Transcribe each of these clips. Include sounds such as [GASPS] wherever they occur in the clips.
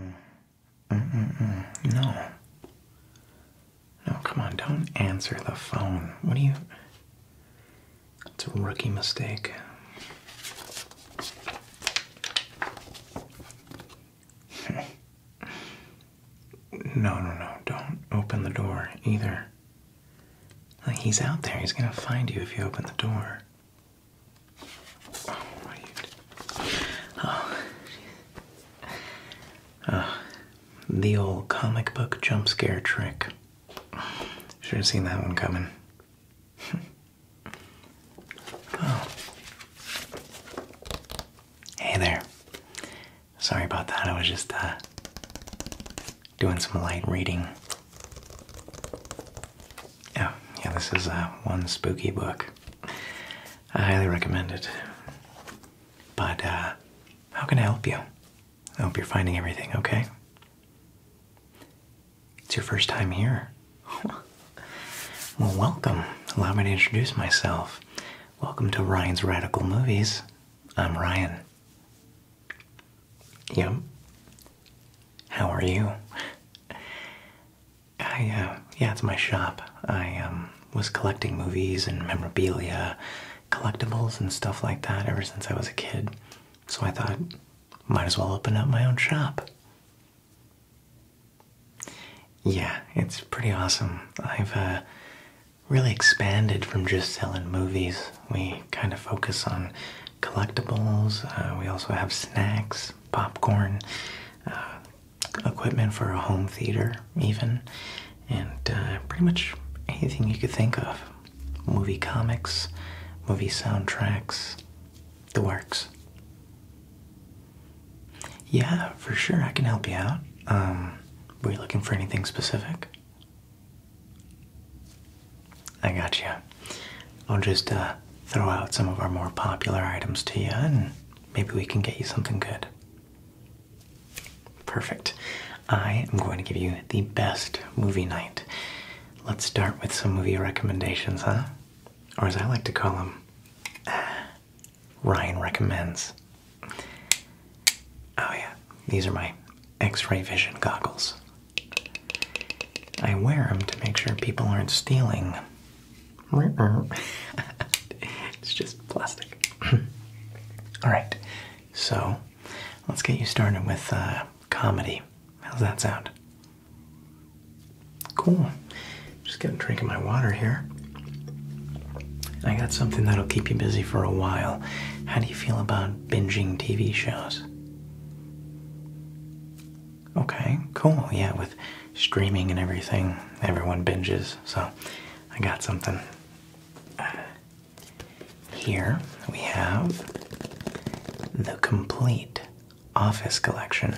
Mm. Mm, mm, no. No, come on, don't answer the phone. What do you. It's a rookie mistake. [LAUGHS] no, no, no, don't open the door either. he's out there, he's gonna find you if you open the door. Oh, oh. the old comic book jump scare trick. Should have seen that one coming. [LAUGHS] Hey there. Sorry about that. I was just uh, doing some light reading. Oh, yeah, this is uh, one spooky book. I highly recommend it. But uh, how can I help you? I hope you're finding everything okay. It's your first time here. well, welcome. Allow me to introduce myself. Welcome to Ryan's Radical Movies. I'm Ryan. Yep. How are you? I, uh, yeah, it's my shop. I um, was collecting movies and memorabilia, collectibles and stuff like that ever since I was a kid. So I thought, might as well open up my own shop. Yeah, it's pretty awesome. I've uh, really expanded from just selling movies. We kind of focus on collectibles. Uh, we also have snacks, popcorn, equipment for a home theater, even, and uh, pretty much anything you could think of movie comics, movie soundtracks, the works. Yeah, for sure, I can help you out. Um, were you looking for anything specific? I got you. I'll just uh, throw out some of our more popular items to you and Maybe we can get you something good. Perfect. I am going to give you the best movie night. Let's start with some movie recommendations, huh? Or as I like to call them, uh, Ryan Recommends. Oh, yeah, these are my x ray vision goggles. I wear them to make sure people aren't stealing [LAUGHS] it's just plastic. All right, so let's get you started with uh, comedy. How's that sound? Cool. Just getting a drink of my water here. I got something that'll keep you busy for a while. How do you feel about binging TV shows? Okay, cool. Yeah, with streaming and everything, everyone binges. So I got something. here we have the complete office collection.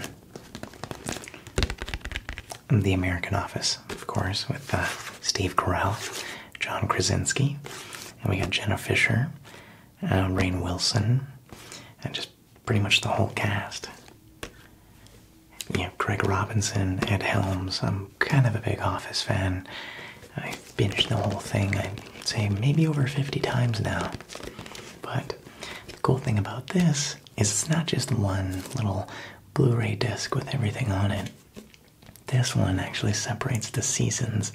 The American Office, of course, with uh, Steve Carell, John Krasinski, and we got Jenna Fisher, uh, Wilson, and just pretty much the whole cast. You know, Greg Robinson, Ed Helms. I'm kind of a big Office fan. I've binged the whole thing, I'd say maybe over 50 times now. But the cool thing about this is it's not just one little Blu ray disc with everything on it. This one actually separates the seasons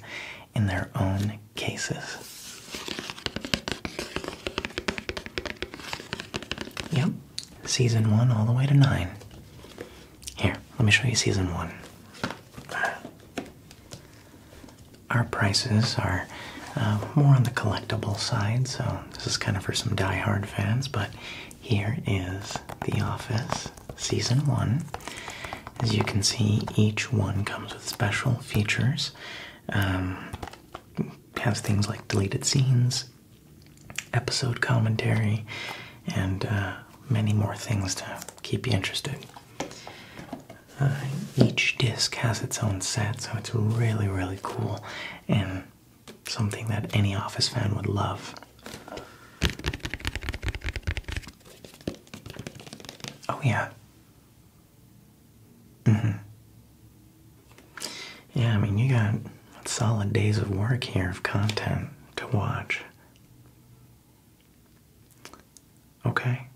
in their own cases. Yep, season one all the way to nine. Here, let me show you season one. Our prices are uh, more on the collectible side, so this is kind of for some die-hard fans, but here is The Office Season 1. As you can see, each one comes with special features. Um, has things like deleted scenes, episode commentary, and uh, many more things to keep you interested. Uh, each disc has its own set, so it's really, really cool and something that any Office fan would love. Oh, yeah. Mm-hmm. Yeah, I mean, you got solid days of work here of content to watch. Okay.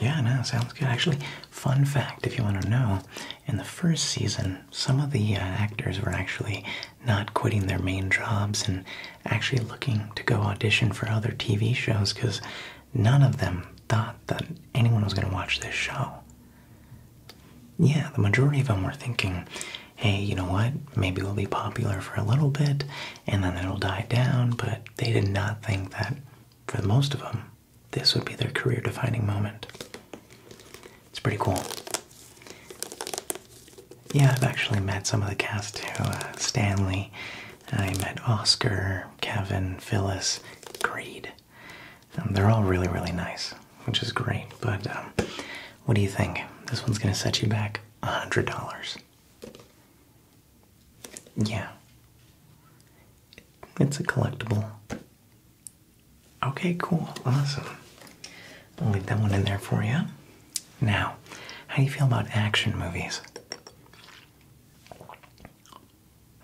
Yeah, no, sounds good. Actually, fun fact if you want to know, in the first season, some of the uh, actors were actually not quitting their main jobs and actually looking to go audition for other TV shows because none of them thought that anyone was going to watch this show. Yeah, the majority of them were thinking, hey, you know what? Maybe we'll be popular for a little bit and then it'll die down. But they did not think that, for most of them, this would be their career defining moment. It's pretty cool. Yeah, I've actually met some of the cast too. Uh, Stanley, I met Oscar, Kevin, Phyllis, Creed they're all really, really nice, which is great. But um, what do you think? This one's going to set you back $100. Yeah. It's a collectible. Okay, cool. Awesome. I'll leave that one in there for you. Now, how do you feel about action movies?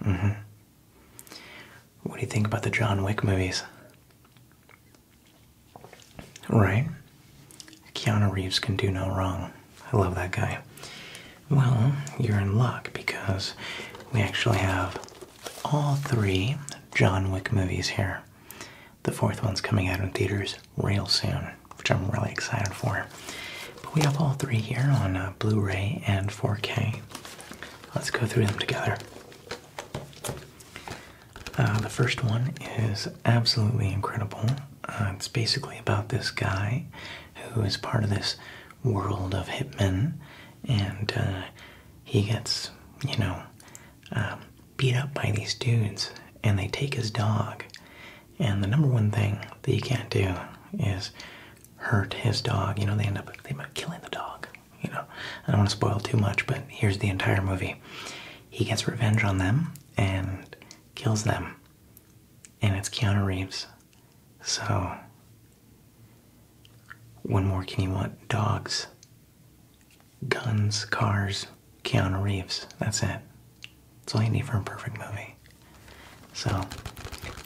Mm hmm. What do you think about the John Wick movies? Right? Keanu Reeves can do no wrong. I love that guy. Well, you're in luck because we actually have all three John Wick movies here. The fourth one's coming out in theaters real soon, which I'm really excited for. But we have all three here on uh, Blu ray and 4K. Let's go through them together. Uh, the first one is absolutely incredible. Uh, it's basically about this guy who is part of this world of hitmen, and uh, he gets, you know, um, beat up by these dudes, and they take his dog. And the number one thing that you can't do is hurt his dog. You know, they end up they end up killing the dog you know, I don't want to spoil too much, but here's the entire movie. He gets revenge on them and kills them. And it's Keanu Reeves. So, one more can you want? Dogs, guns, cars, Keanu Reeves. That's it. That's all you need for a perfect movie. So,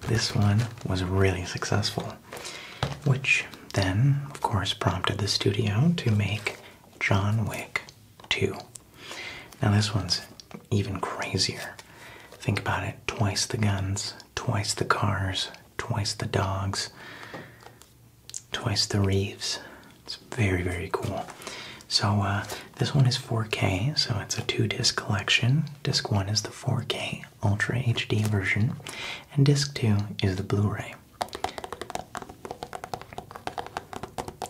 this one was really successful which then, of course, prompted the studio to make John Wick 2. Now, this one's even crazier. Think about it twice the guns, twice the cars, twice the dogs, twice the Reeves. It's very, very cool. So, uh, this one is 4K, so it's a two disc collection. Disc one is the 4K, Ultra HD version, and disc 2 is the Blu ray.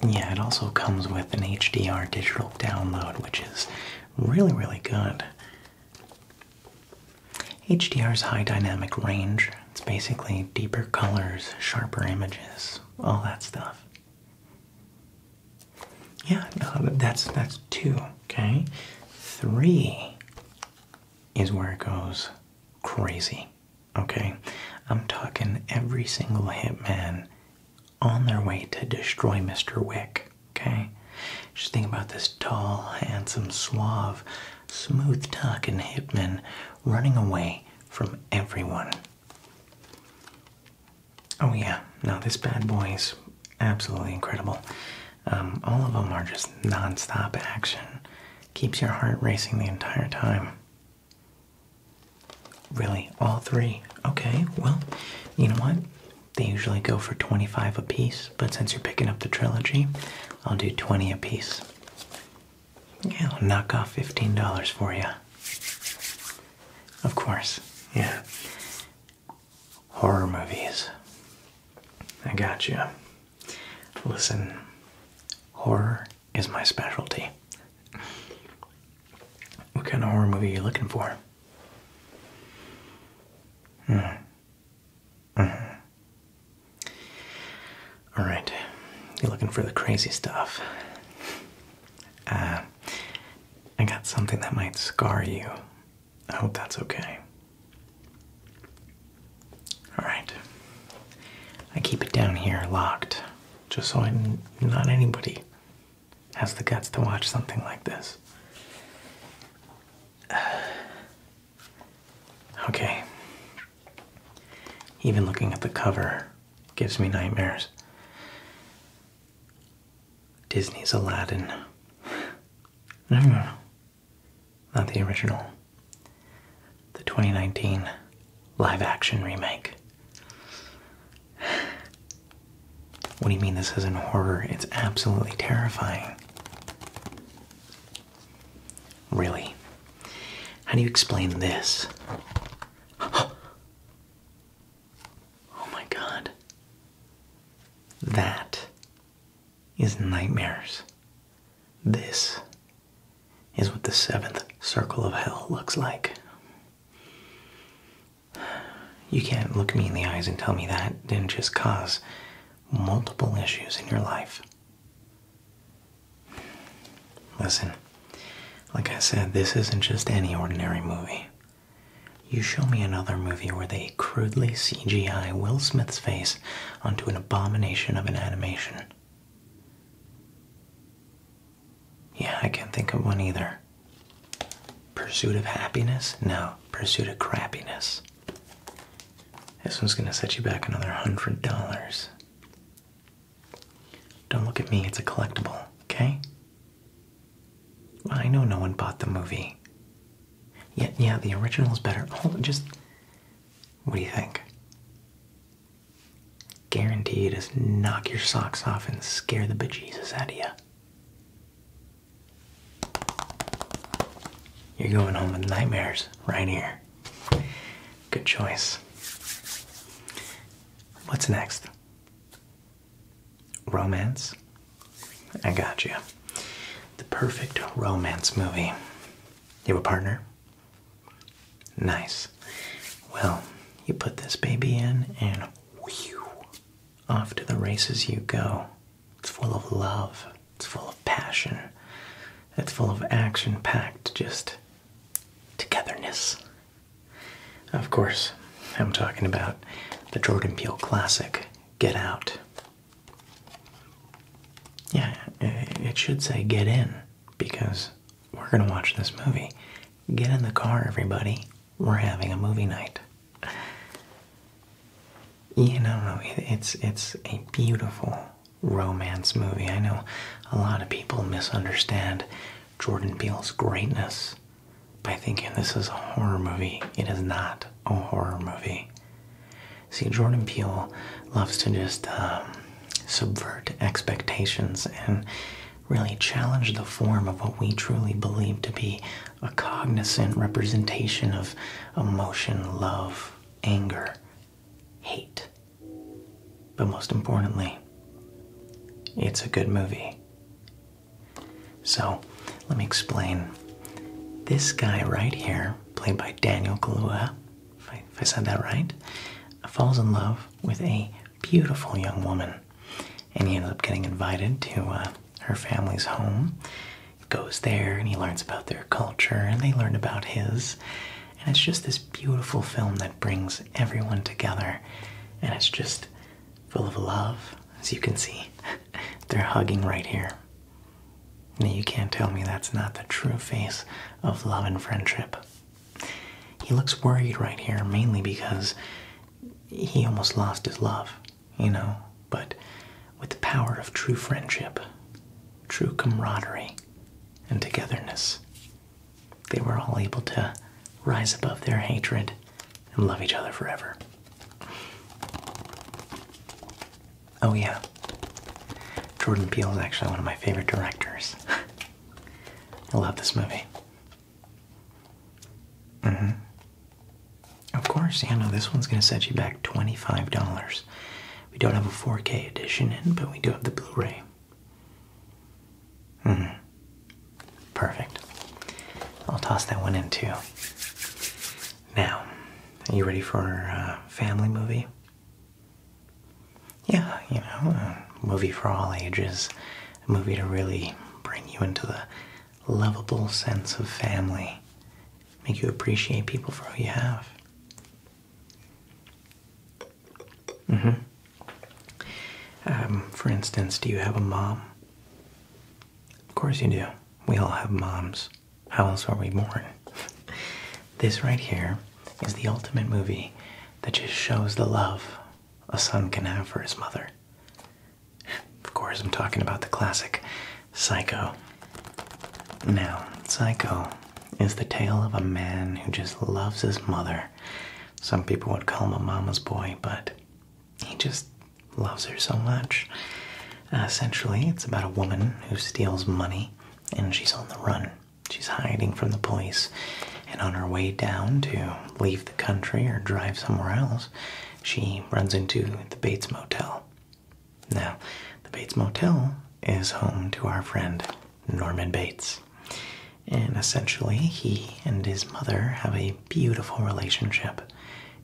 Yeah, it also comes with an HDR digital download, which is really, really good. HDR is high dynamic range, it's basically deeper colors, sharper images, all that stuff. Yeah, that's that's two, okay? Three is where it goes crazy. Okay? I'm talking every single hitman on their way to destroy Mr. Wick. Okay? Just think about this tall, handsome, suave, smooth talking hitman running away from everyone. Oh, yeah. Now, this bad boy is absolutely incredible. Um, all of them are just nonstop action. Keeps your heart racing the entire time. Really, all three. Okay, well, you know what? They usually go for 25 a piece, but since you're picking up the trilogy, I'll do 20 a piece. Yeah, I'll knock off $15 for you. Of course, yeah horror movies. I got you. Listen, horror is my specialty. What kind of horror movie are you looking for? Mm-hmm. Mm. Mm-hmm. All right, you're looking for the crazy stuff. Uh, I got something that might scar you I hope that's okay. Alright. I keep it down here locked just so I, am not anybody has the guts to watch something like this. [SIGHS] Okay. Even looking at the cover gives me nightmares. Disney's Aladdin. [SIGHS] no. Not the original. The 2019 live action remake. What do you mean this isn't horror? It's absolutely terrifying. Really? How do you explain this? [GASPS] Oh my god. That is nightmares. This is what the seventh circle of hell looks like. You can't look me in the eyes and tell me that didn't just cause multiple issues in your life. Listen, like I said, this isn't just any ordinary movie. You show me another movie where they crudely CGI Will Smith's face onto an abomination of an animation. Yeah, I can't think of one either. Pursuit of happiness? No, pursuit of crappiness. This one's gonna set you back another hundred dollars. Don't look at me, it's a collectible, okay? I know no one bought the movie. Yeah, yeah, the is better. Hold just. What do you think? Guaranteed to knock your socks off and scare the bejesus out of you. You're going home with nightmares right here. Good choice. What's next? Romance? I got you. The perfect romance movie. You have a partner? Nice. Well, you put this baby in and whew, off to the races you go. It's full of love, it's full of passion, it's full of action packed just togetherness. Of course, I'm talking about the Jordan Peele classic, Get Out. Yeah, it should say get in because we're going to watch this movie. Get in the car, everybody. We're having a movie night. You know, it's it's a beautiful romance movie. I know a lot of people misunderstand Jordan Peele's greatness by thinking this is a horror movie. It is not a horror movie. See, Jordan Peele loves to just um, subvert expectations and really challenge the form of what we truly believe to be a cognizant representation of emotion, love, anger, hate. But most importantly, it's a good movie. So, let me explain. This guy right here played by Daniel Kaluuya, if I, said that right, falls in love with a beautiful young woman, and he ends up getting invited to uh, her family's home. goes there, and he learns about their culture, and they learn about his. And it's just this beautiful film that brings everyone together, and it's just full of love, as you can see. [LAUGHS] They're hugging right here. Now you can't tell me that's not the true face of love and friendship. He looks worried right here, mainly because he almost lost his love, you know, but with the power of true friendship, true camaraderie, and togetherness, they were all able to rise above their hatred and love each other forever. Oh yeah. Jordan Peele is actually one of my favorite directors. [LAUGHS] I love this movie. hmm Of course, you know this one's gonna set you back $25. We don't have a 4K edition in, but we do have the Blu-ray. hmm Perfect. I'll toss that one in too. Now, are you ready for a uh, family movie? Yeah, you know, a movie for all ages, a movie to really bring you into the lovable sense of family, make you appreciate people for who you have. Mm-hmm. Um, for instance, do you have a mom? Of course you do. We all have moms. How else were we born? This right here is the ultimate movie that just shows the love a son can have for his mother. Of course, I'm talking about the classic Psycho. Now, Psycho is the tale of a man who just loves his mother. Some people would call him a mama's boy, but he just loves her so much. Uh, essentially, it's about a woman who steals money and she's on the run. She's hiding from the police. And on her way down to leave the country or drive somewhere else, she runs into the Bates Motel. Now, the Bates Motel is home to our friend Norman Bates. And essentially, he and his mother have a beautiful relationship.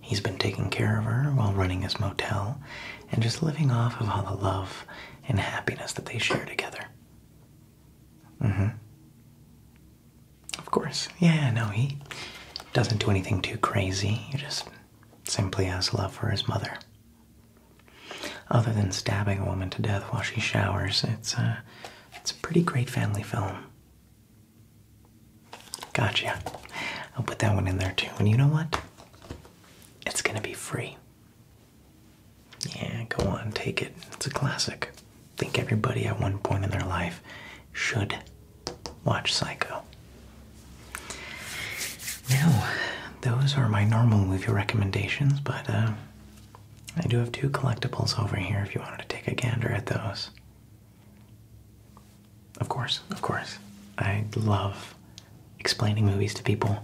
He's been taking care of her while running his motel, and just living off of all the love and happiness that they share together. Mm-hmm. Of course. Yeah, no, he doesn't do anything too crazy. He just simply has love for his mother. Other than stabbing a woman to death while she showers, it's a, uh, it's a pretty great family film. Gotcha. I'll put that one in there too. And you know what? It's gonna be free. Yeah, go on, take it. It's a classic. think everybody at one point in their life should watch Psycho. Now, those are my normal movie recommendations, but uh, I do have two collectibles over here if you wanted to take a gander at those. Of course, of course. I love explaining movies to people,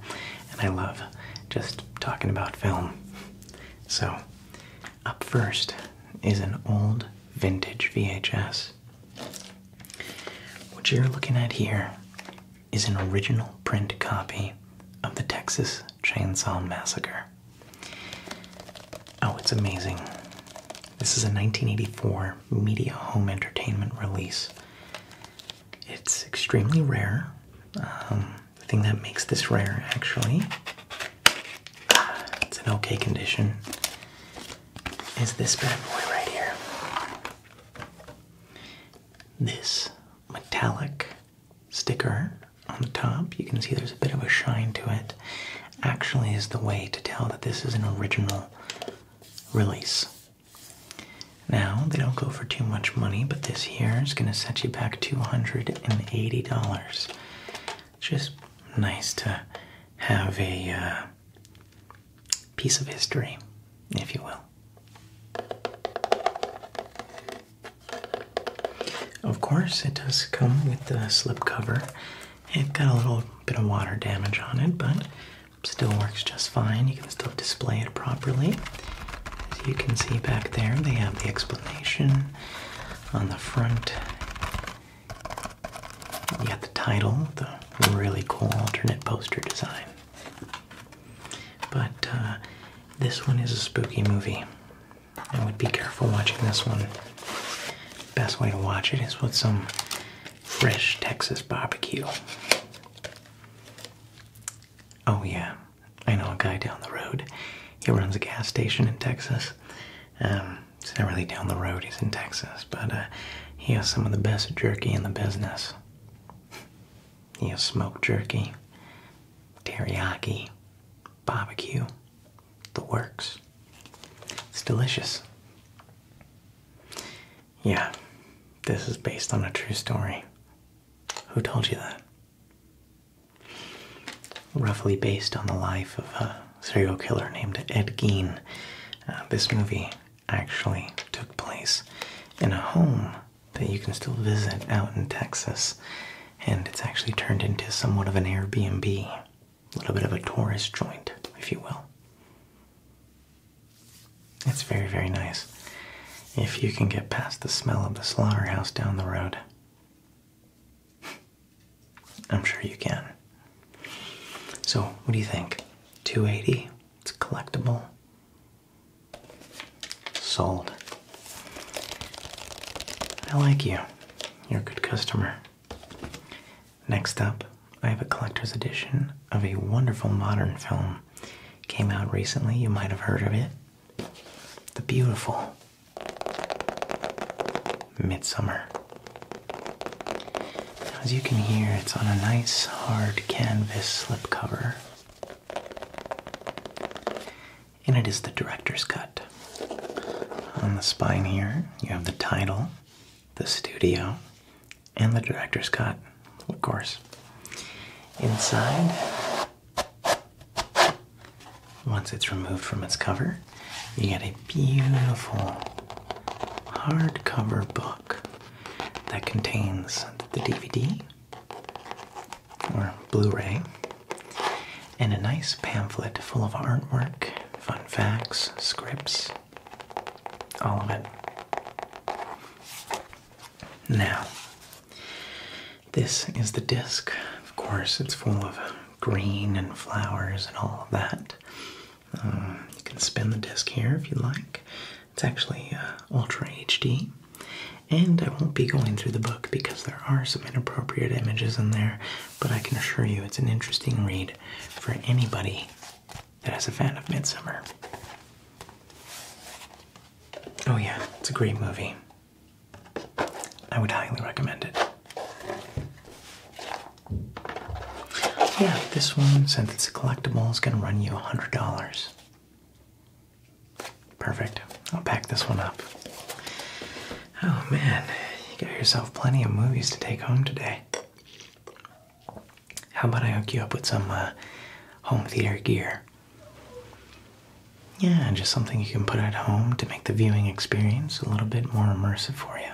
and I love just talking about film. So, up first is an old vintage VHS. What you're looking at here is an original print copy of the Texas Chainsaw Massacre. Oh, it's amazing. This is a 1984 Media Home Entertainment release. It's extremely rare. Um, the thing that makes this rare, actually, it's an okay condition, is this bad boy right here. This metallic sticker on the top, you can see there's a bit of a shine to it, actually is the way to tell that this is an original release. Now, they don't go for too much money, but this here is going to set you back $280. Just nice to have a uh, piece of history, if you will. Of course, it does come with the slip cover. It got a little bit of water damage on it, but Still works just fine. You can still display it properly. you can see back there, they have the explanation on the front. You got the title, the really cool alternate poster design. But uh, this one is a spooky movie. I would be careful watching this one. Best way to watch it is with some fresh Texas barbecue. Oh, yeah. I know a guy down the road. He runs a gas station in Texas. Um, it's not really down the road, he's in Texas, but uh, he has some of the best jerky in the business. he has smoked jerky, teriyaki, barbecue, the works. It's delicious. Yeah, this is based on a true story. Who told you that? Roughly based on the life of a serial killer named Ed Gein. Uh, this movie actually took place in a home that you can still visit out in Texas, and it's actually turned into somewhat of an Airbnb, a little bit of a tourist joint, if you will. It's very, very nice. If you can get past the smell of the slaughterhouse down the road, [LAUGHS] I'm sure you can. So, what do you think? 280? It's collectible. Sold. I like you. You're a good customer. Next up, I have a collector's edition of a wonderful modern film came out recently. You might have heard of it. The beautiful Midsummer. As you can hear, it's on a nice hard canvas slipcover. And it is the director's cut. On the spine here, you have the title, the studio, and the director's cut, of course. Inside, once it's removed from its cover, you get a beautiful hardcover book that contains the DVD or Blu ray and a nice pamphlet full of artwork, fun facts, scripts, all of it. Now, this is the disc. Of course, it's full of green and flowers and all of that. Um, you can spin the disc here if you like. It's actually uh, Ultra HD. And I won't be going through the book because there are some inappropriate images in there, but I can assure you it's an interesting read for anybody that is a fan of Midsummer. Oh yeah, it's a great movie. I would highly recommend it. Yeah, this one, since it's a collectible, is gonna run you $100. Perfect. I'll pack this one up. Oh man, you got yourself plenty of movies to take home today. How about I hook you up with some uh, home theater gear? Yeah, just something you can put at home to make the viewing experience a little bit more immersive for you.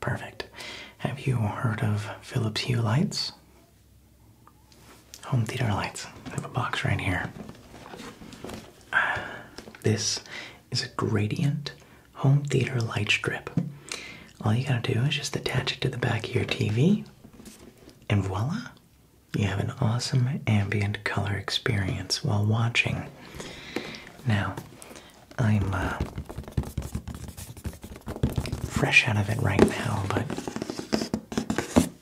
Perfect. Have you heard of Philips Hue lights? Home theater lights. I have a box right here. Ah, this is a gradient home theater light strip. All you gotta do is just attach it to the back of your TV, and voila! You have an awesome ambient color experience while watching. Now, I'm uh, fresh out of it right now, but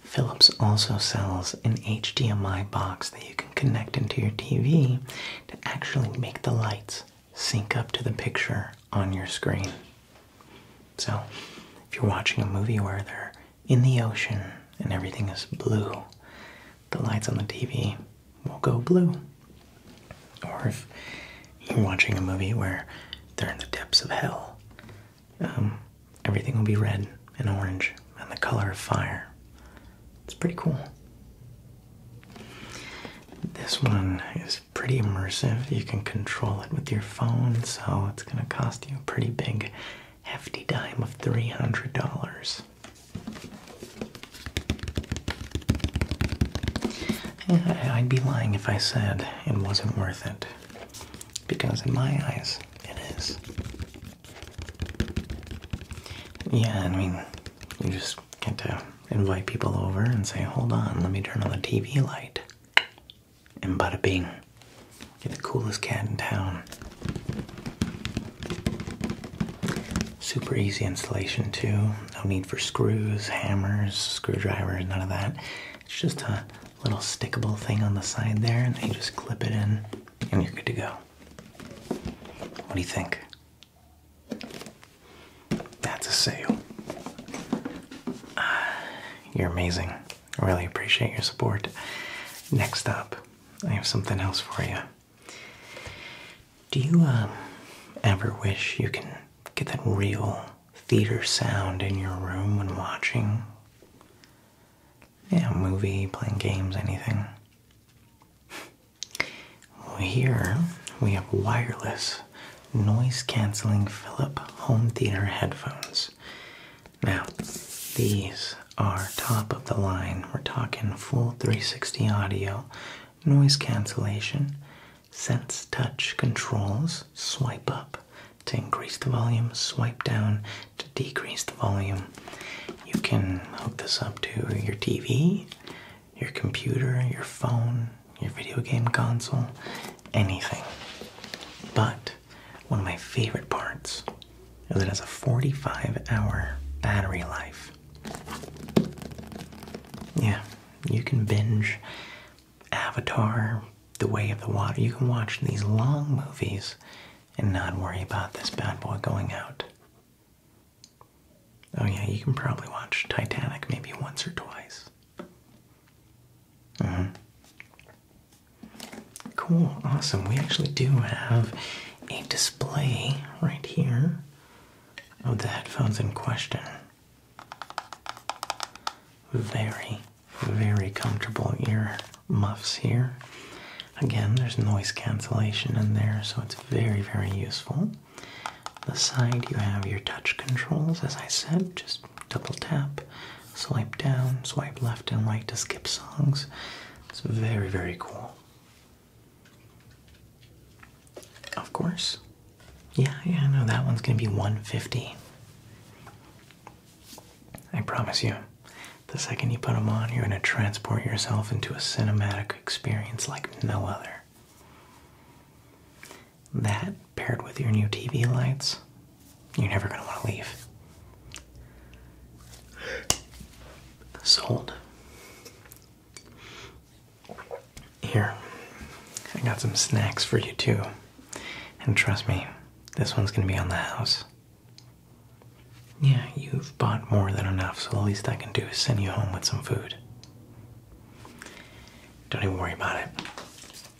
Philips also sells an HDMI box that you can connect into your TV to actually make the lights sync up to the picture on your screen. So, if you're watching a movie where they're in the ocean and everything is blue, the lights on the TV will go blue. Or if you're watching a movie where they're in the depths of hell, um, everything will be red and orange and the color of fire. It's pretty cool. This one is pretty immersive. You can control it with your phone, so it's going to cost you a pretty big, hefty dime of $300. I'd be lying if I said it wasn't worth it. Because in my eyes, it is. Yeah, I mean, you just get to invite people over and say, hold on, let me turn on the TV light and bada bing. You're the coolest cat in town. Super easy installation too. No need for screws, hammers, screwdrivers, none of that. It's just a little stickable thing on the side there and then you just clip it in and you're good to go. What do you think? That's a sale. Ah, you're amazing. I really appreciate your support. Next up, I have something else for you. Do you um, ever wish you can get that real theater sound in your room when watching? Yeah, movie, playing games, anything. Well, here we have wireless noise canceling Philip home theater headphones. Now, these are top of the line. We're talking full 360 audio, noise cancellation, sense touch controls, swipe up to increase the volume, swipe down to decrease the volume. You can hook this up to your TV, your computer, your phone, your video game console, anything. But one of my favorite parts is it has a 45 hour battery life. Yeah, you can binge Avatar, The Way of the Water. You can watch these long movies and not worry about this bad boy going out. Oh, yeah, you can probably watch Titanic maybe once or twice. Uh-huh. Cool, awesome. We actually do have a display right here of the headphones in question. Very, very comfortable ear muffs here. Again, there's noise cancellation in there, so it's very, very useful. The side you have your touch controls, as I said, just double tap, swipe down, swipe left and right to skip songs. It's very, very cool. Of course. Yeah, yeah, I know that one's gonna be 150. I promise you, the second you put them on, you're gonna transport yourself into a cinematic experience like no other that paired with your new TV lights, you're never going to want to leave. Sold. Here, I got some snacks for you too. And trust me, this one's going to be on the house. Yeah, you've bought more than enough, so the least I can do is send you home with some food. Don't even worry about it.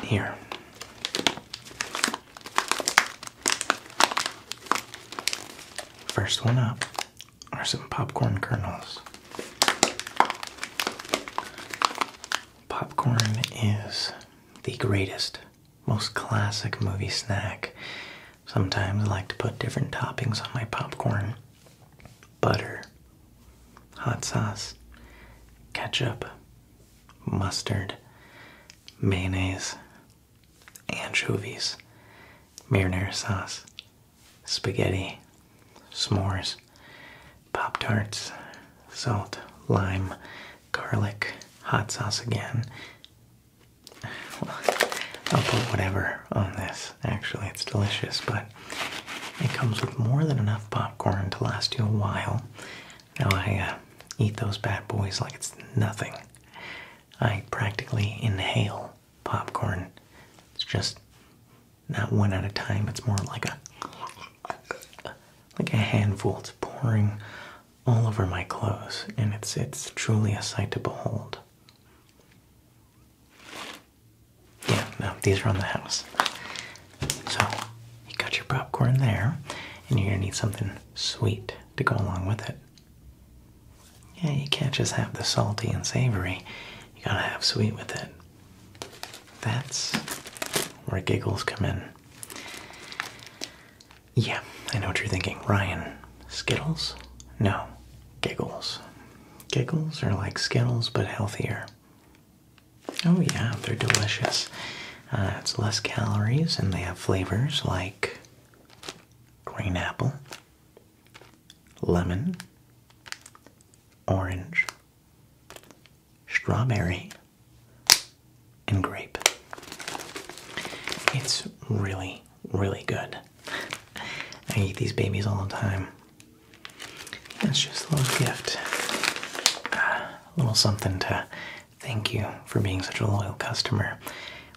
Here. First one up are some popcorn kernels. Popcorn is the greatest, most classic movie snack. Sometimes I like to put different toppings on my popcorn butter, hot sauce, ketchup, mustard, mayonnaise, anchovies, marinara sauce, spaghetti, s'mores, Pop Tarts, salt, lime, garlic, hot sauce again. [LAUGHS] I'll put whatever on this. Actually, it's delicious, but it comes with more than enough popcorn to last you a while now I uh, eat those bad boys like it's nothing. I practically inhale popcorn. It's just not one at a time. It's more like a like a handful. It's pouring all over my clothes, and it's it's truly a sight to behold. Yeah, no, these are on the house. So you got your popcorn there, and you're gonna need something sweet to go along with it. Yeah, you can't just have the salty and savory. You gotta have sweet with it. That's where giggles come in. Yeah, I know what you're thinking. Ryan, Skittles? No, giggles. Giggles are like Skittles but healthier. Oh, yeah, they're delicious. Uh, it's less calories, and they have flavors like green apple, lemon, orange, strawberry, and grape. It's really, really good. I eat these babies all the time. It's just a little gift. Ah. A little something to thank you for being such a loyal customer.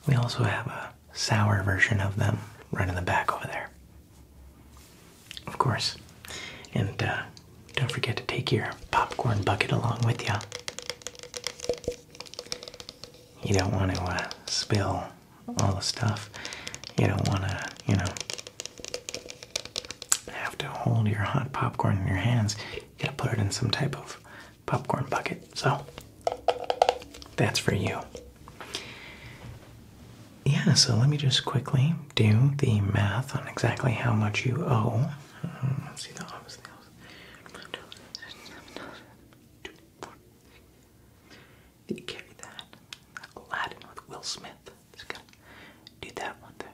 We also have a sour version of them right in the back over there. Of course. And uh, don't forget to take your popcorn bucket along with you. You don't want to uh, spill all the stuff. You don't want to, you know, have to hold your hot popcorn in your hands. You gotta put it in some type of popcorn bucket. So that's for you. Yeah, so let me just quickly do the math on exactly how much you owe. let's mm, see the opposite. Did you carry that? Aladdin with Will Smith. Just gonna do that one there.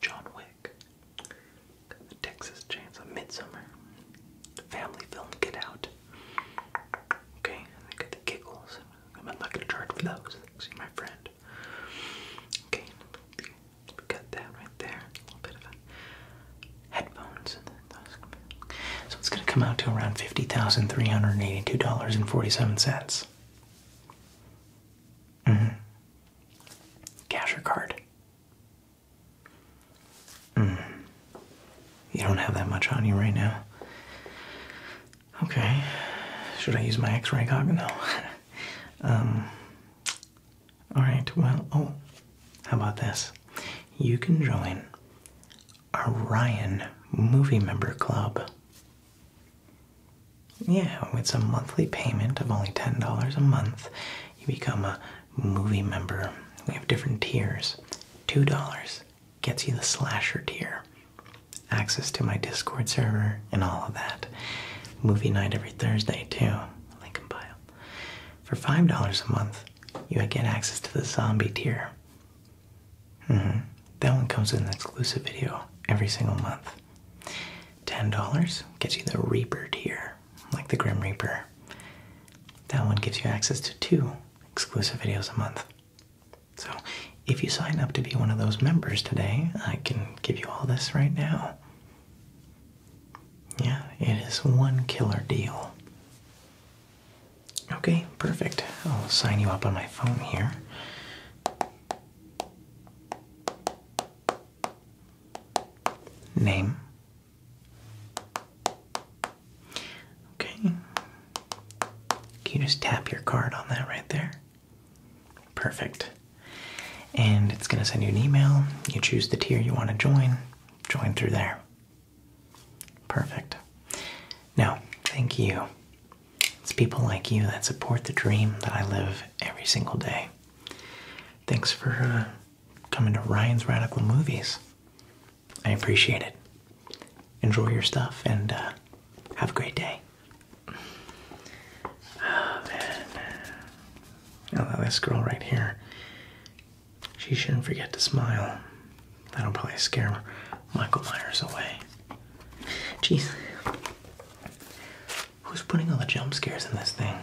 John Wick, Texas Chainsaw Midsummer, family film Get Out. Okay, I got the giggles. I'm not gonna charge for those. See my friend. Okay, we got that right there. A little bit of headphones. So it's gonna come out to around fifty thousand three hundred and eighty-two dollars and forty-seven cents. Mm Cash or card? Mm. You don't have that much on you right now. Okay. Should I use my x ray goggle? now? um, Alright, well, oh, how about this? You can join our Movie Member Club. Yeah, it's a monthly payment of only $10 a month. You become a movie member. We have different tiers. $2 gets you the slasher tier, access to my Discord server, and all of that. Movie night every Thursday, too. Link in bio. For $5 a month, you get access to the zombie tier. -hmm. That one comes with an exclusive video every single month. $10 gets you the Reaper tier, like the Grim Reaper. That one gives you access to two exclusive videos a month. So, if you sign up to be one of those members today, I can give you all this right now. Yeah, it is one killer deal. Okay, perfect. I'll sign you up on my phone here. Name. Okay. Can you just tap your card on that right there? Perfect. And it's going to send you an email. You choose the tier you want to join. Join through there. Perfect. Now, thank you. It's people like you that support the dream that I live every single day. Thanks for uh, coming to Ryan's Radical Movies. I appreciate it. Enjoy your stuff and uh, have a great day. Oh, man. Oh, this girl right here. She shouldn't forget to smile. That'll probably scare Michael Myers away. Jeez. Who's putting all the jump scares in this thing?